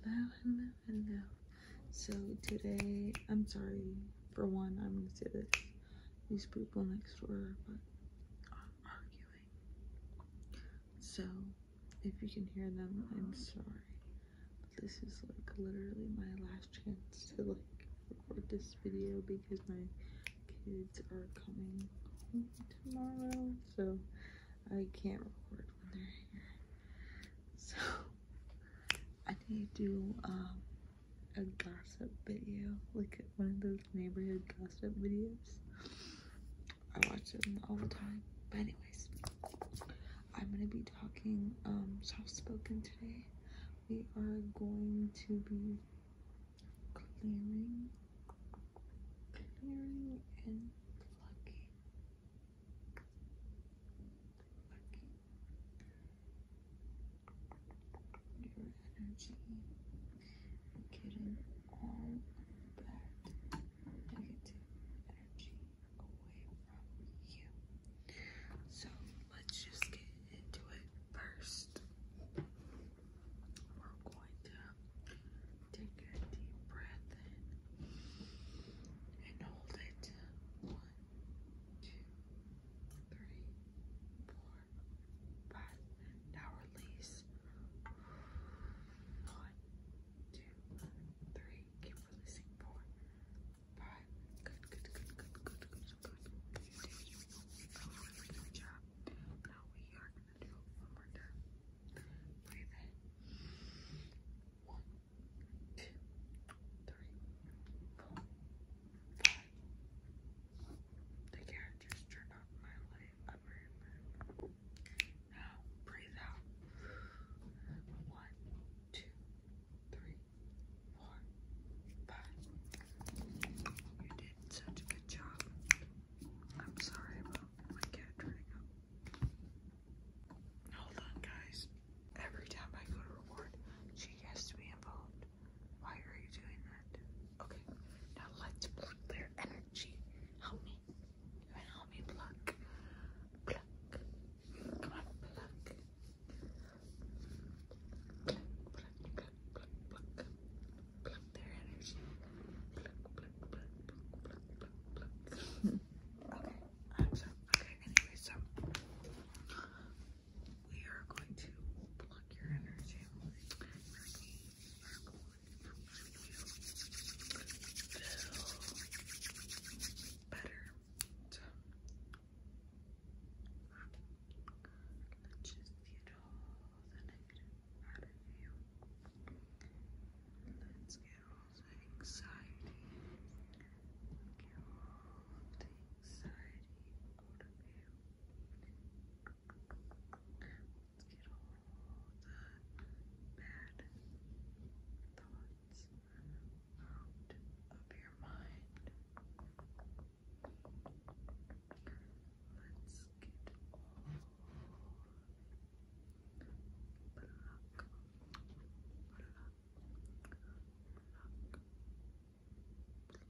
Hello, hello, hello. So today, I'm sorry for one, I'm gonna say this. These people next door but are arguing. So if you can hear them, I'm sorry. this is like literally my last chance to like record this video because my kids are coming home tomorrow. So I can't record when they're here. So I need to do um, a gossip video, like one of those neighborhood gossip videos. I watch them all the time. But anyways, I'm gonna be talking um, soft spoken today. We are going to be clearing, clearing and plucking your energy, getting all that negative energy away from you. So let's just get into it first. We're going to Take a deep breath in and hold it. One, two, three, four, five. Now release. One, two, three. Keep releasing. Four, five. Good, good, good, good, good, good, good. You good job. Now we are gonna do one more time. Breathe in. One, two, three, four, five. The characters turn off my light. Now breathe out. One, two, three, four, five. You did such a good job. I'm sorry about my cat turning up. Hold on, guys. Every time I go to reward, she has to be involved. Why are you doing that? Okay, now let's plug their energy. Help me. Help me pluck. Pluck. Come on, pluck. Pluck, pluck, pluck, pluck, their energy. Pluck, pluck, pluck, pluck, pluck, pluck, Okay. okay, anyway, so we are going to block your energy. Better. let's just get all the negative out of you. Let's get anxiety, get all of the anxiety out of you. Let's get all the bad thoughts out of your mind. Let's get all of the Pluck. Pluck. Pluck. Pluck. Pluck. If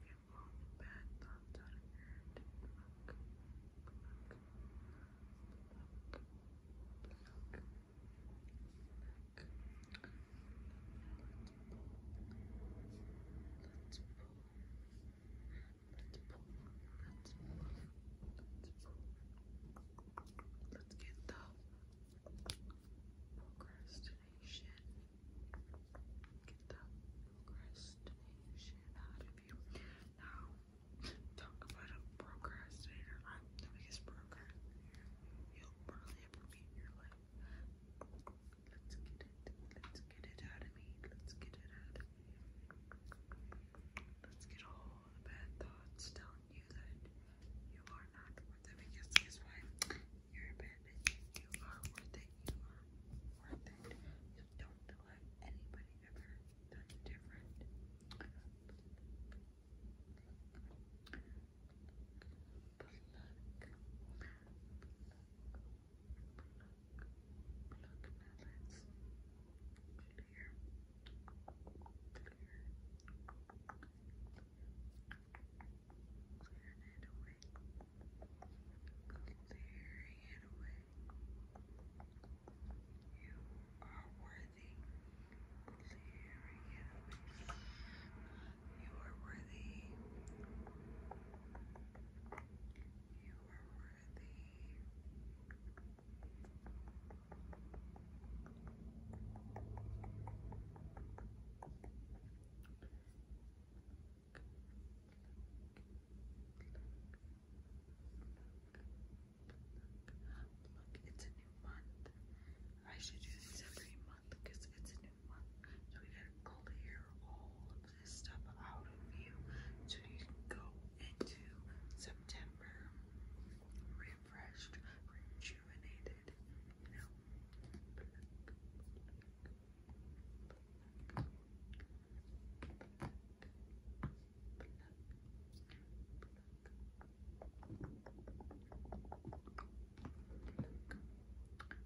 you have long bad thoughts out of your head, pluck. Pluck. Pluck. Pluck. Pluck. Let's pull. Let's pull. Let's pull. Let's pull. Let's get the procrastination. Get the procrastination out of you. Now, talk about a procrastinator. I'm the biggest procrastinator you'll probably ever meet in your life. Let's get it. Let's get it out of me. Let's get it out of me. Let's get all the bad thoughts telling you that you are not worth it. Because guess what? You're a bad bitch. You are worth it. You are worth it. don't let anybody ever tell you different pluck, pluck melons, clear, clear, clearing it away, clearing it away. You are worthy, clearing it away. You are worthy. You are worthy. Look, it's a new month. I should do this every month because it's a new so we got clear all of this stuff out of you so you can go into September refreshed, rejuvenated, you know.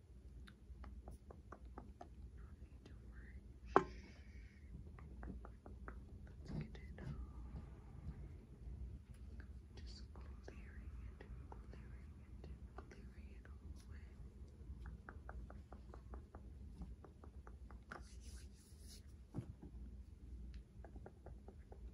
Don't need to Let's get Just clearing it, clearing it, clearing it away.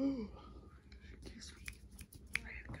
Oh, all of your me. I had got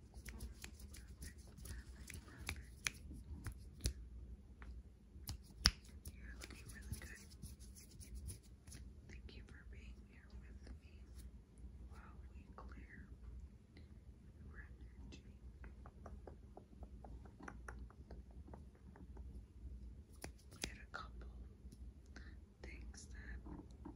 You're looking really good. Thank you for being here with me while we clear We had a couple things that happened, but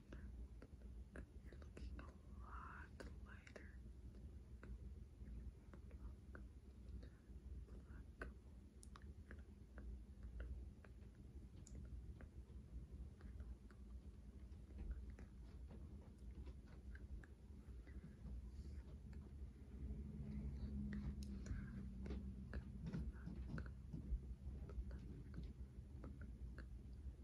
You're looking a lot lighter.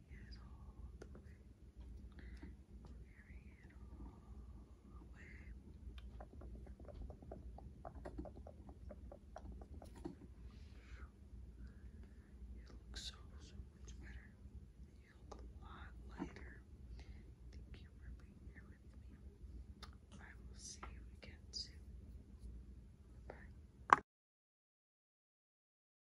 you look so, so much better you look a lot lighter thank you for being here with me I will see you again soon bye